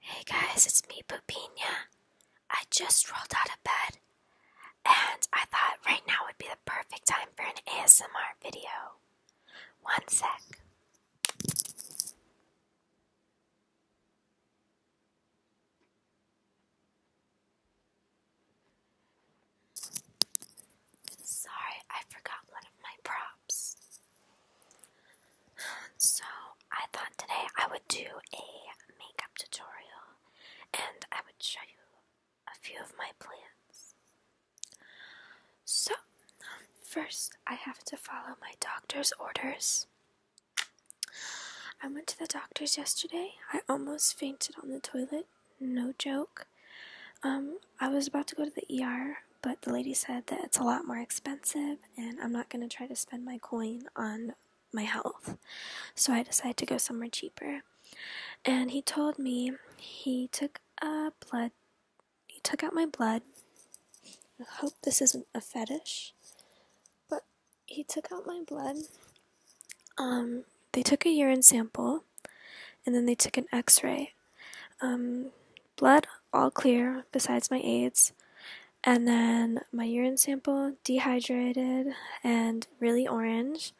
Hey guys, it's me, Pupina. I just rolled out of bed and I thought right now would be the perfect time for an ASMR video. One sec. Sorry, I forgot one of my props. So, I thought today I would do a makeup tutorial and I would show you a few of my plans. So, first, I have to follow my doctor's orders. I went to the doctor's yesterday. I almost fainted on the toilet, no joke. Um, I was about to go to the ER, but the lady said that it's a lot more expensive and I'm not going to try to spend my coin on my health. So I decided to go somewhere cheaper. And he told me he took a blood he took out my blood. I hope this isn't a fetish. But he took out my blood. Um they took a urine sample and then they took an x-ray. Um Blood, all clear, besides my AIDS. And then my urine sample, dehydrated and really orange.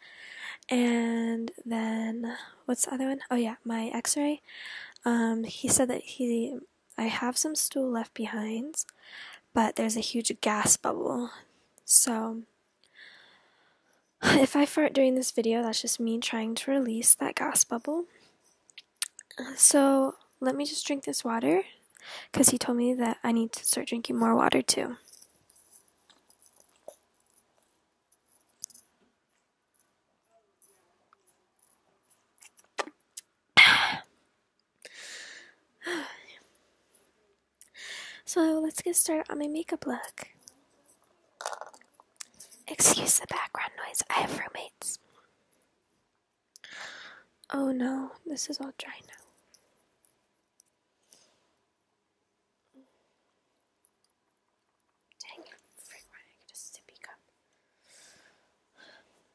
And then, what's the other one? Oh, yeah, my x ray. Um, he said that he, I have some stool left behind, but there's a huge gas bubble. So, if I fart during this video, that's just me trying to release that gas bubble. So let me just drink this water because he told me that I need to start drinking more water too. So let's get started on my makeup look. Excuse the background noise, I have roommates. Oh no, this is all dry now. Dang it, frick, get a sippy cup?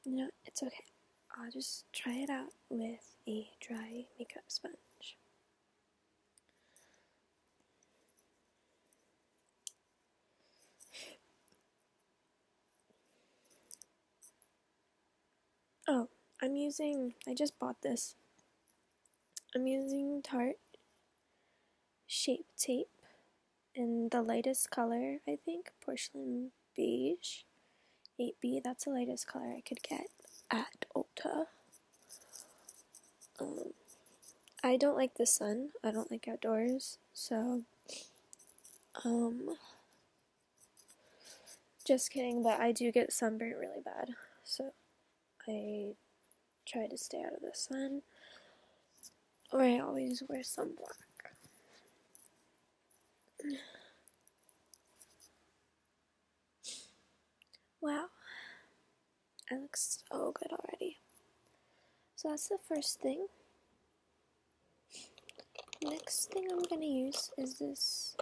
No, it's okay. I'll just try it out with a dry makeup sponge. Oh, I'm using, I just bought this. I'm using tart Shape Tape in the lightest color, I think, Porcelain Beige 8B. That's the lightest color I could get at Ulta. Um, I don't like the sun. I don't like outdoors. So, um, just kidding, but I do get sunburnt really bad, so I try to stay out of the sun, or I always wear sunblock. Wow, I look so good already. So that's the first thing. Next thing I'm going to use is this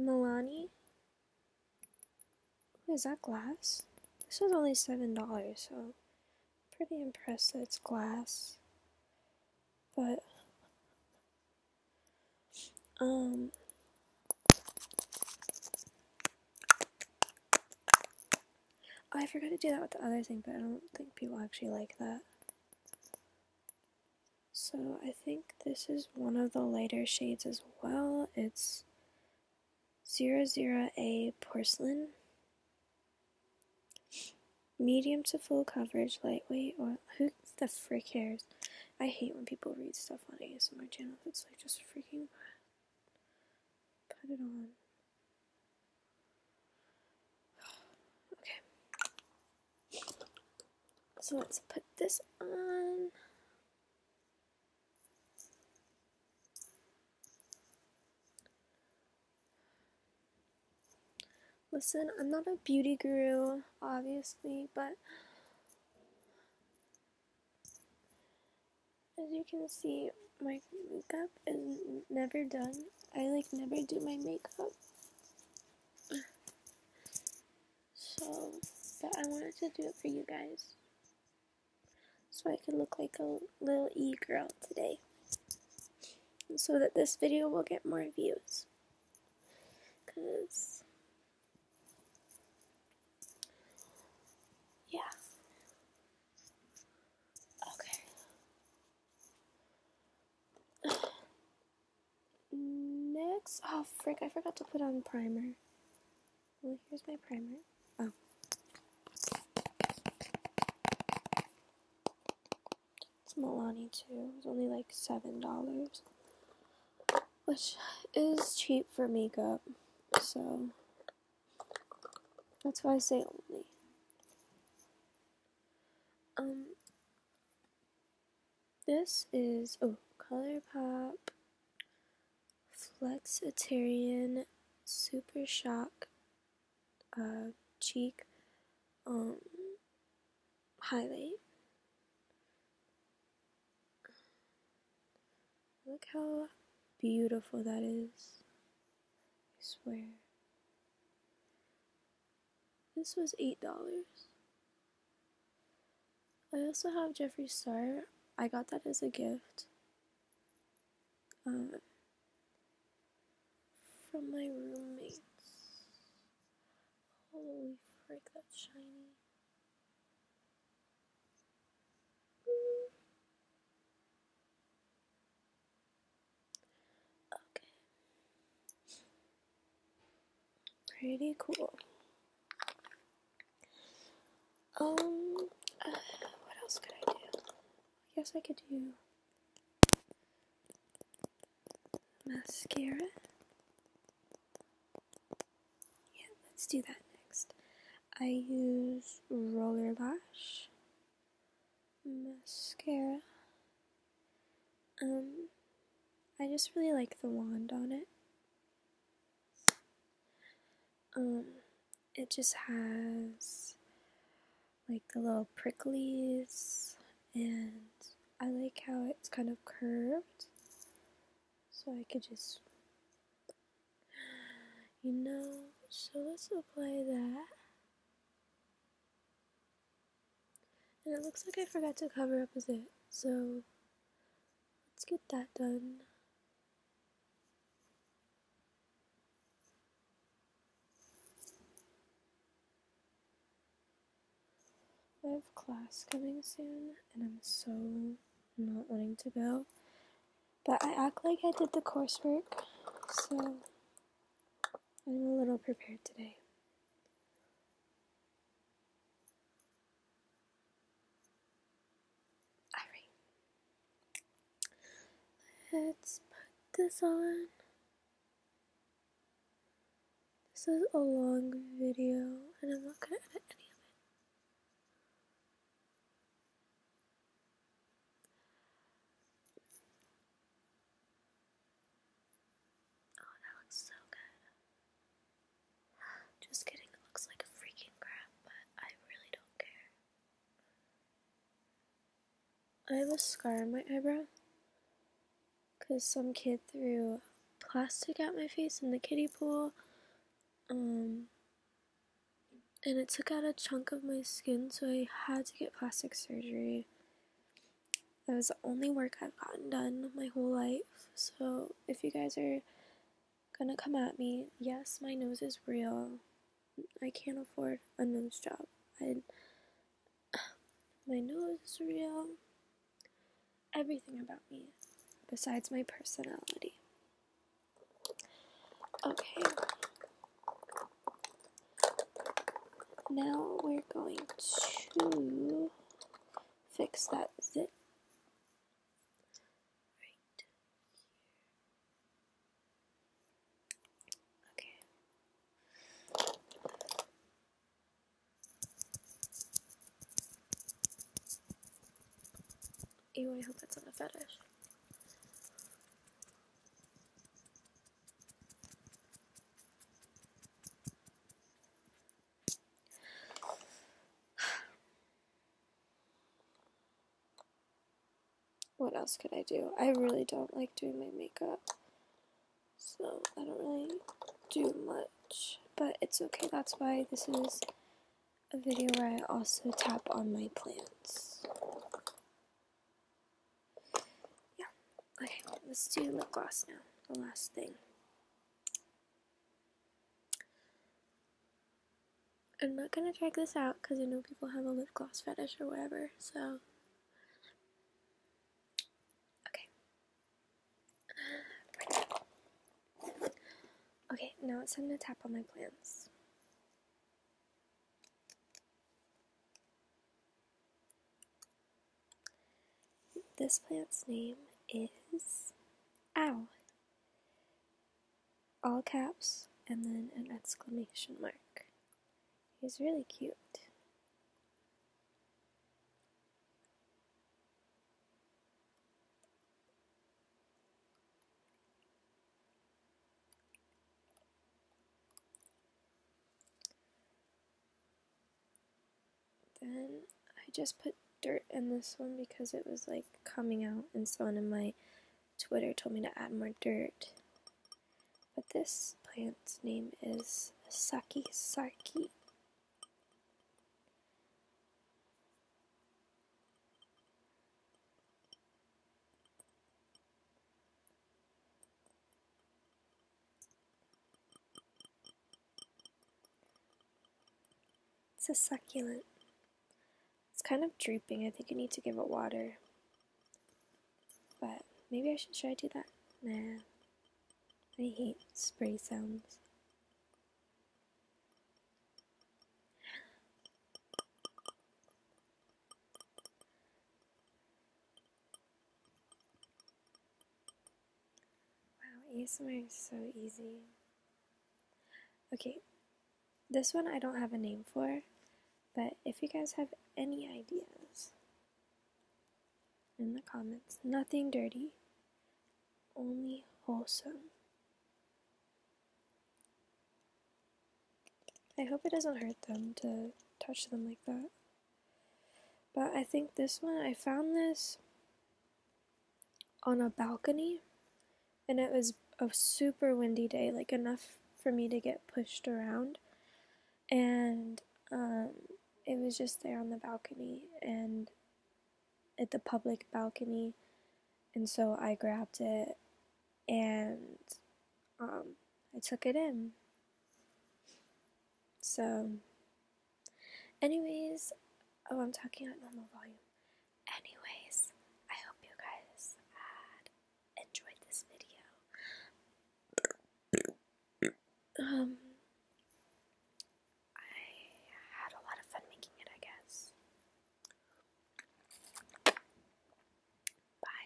Milani. Wait, is that glass? This was only $7, so pretty impressed that it's glass. But, um, I forgot to do that with the other thing, but I don't think people actually like that. So I think this is one of the lighter shades as well. It's 00A Porcelain. Medium to full coverage, lightweight, or who the frick cares? I hate when people read stuff on ASMR channels. It's like just freaking put it on. Okay. So let's put this on. Listen, I'm not a beauty guru, obviously, but as you can see, my makeup is never done. I like never do my makeup. So, but I wanted to do it for you guys. So I could look like a little e girl today. So that this video will get more views. Because. Yeah. Okay. Next, oh frick, I forgot to put on primer. Well, here's my primer. Oh. It's Milani too. It's only like seven dollars, which is cheap for makeup. So that's why I say only. Um, this is, oh, Colourpop Flexitarian Super Shock uh, Cheek um, Highlight. Look how beautiful that is. I swear. This was $8. I also have Jeffree Star. I got that as a gift uh, from my roommates. Holy frick, that's shiny. Okay. Pretty cool. Um, uh, what else could I do? I guess I could do mascara. Yeah, let's do that next. I use Roller Lash mascara. Um, I just really like the wand on it. Um, it just has like the little pricklies, and I like how it's kind of curved, so I could just, you know. So let's apply that. And it looks like I forgot to cover up a it, so let's get that done. I have class coming soon, and I'm so not wanting to go. But I act like I did the coursework, so I'm a little prepared today. Alright. Let's put this on. This is a long video, and I'm not going to edit any of it. Oh, that looks so good. Just kidding, it looks like a freaking crap, but I really don't care. I have a scar on my eyebrow because some kid threw plastic at my face in the kiddie pool. Um, and it took out a chunk of my skin, so I had to get plastic surgery. That was the only work I've gotten done my whole life. So if you guys are gonna come at me, yes, my nose is real. I can't afford a nose job. my nose is real. Everything about me, besides my personality. Okay, now we're going to fix that zit. right here. Okay. Ew, I hope that's not a fetish what else could I do? I really don't like doing my makeup. So I don't really do much. But it's okay. That's why this is a video where I also tap on my plants. Yeah. Okay, let's do lip gloss now. The last thing. I'm not gonna drag this out because I know people have a lip gloss fetish or whatever, so. Okay. Okay, now it's time to tap on my plans. This plant's name is Ow. All caps and then an exclamation mark. He's really cute. Then I just put dirt in this one because it was like coming out and someone in my Twitter told me to add more dirt. But this plant's name is Saki Saki. It's a succulent. It's kind of drooping. I think I need to give it water. But maybe I should, should I do that? Nah. I hate spray sounds. Wow, ASMR is so easy. Okay, this one I don't have a name for, but if you guys have any ideas in the comments, nothing dirty, only wholesome. I hope it doesn't hurt them to touch them like that. But I think this one, I found this on a balcony and it was a super windy day, like enough for me to get pushed around. And um, it was just there on the balcony and at the public balcony. And so I grabbed it and um, I took it in so, anyways, oh, I'm talking at normal volume. Anyways, I hope you guys had enjoyed this video. Um, I had a lot of fun making it, I guess. Bye.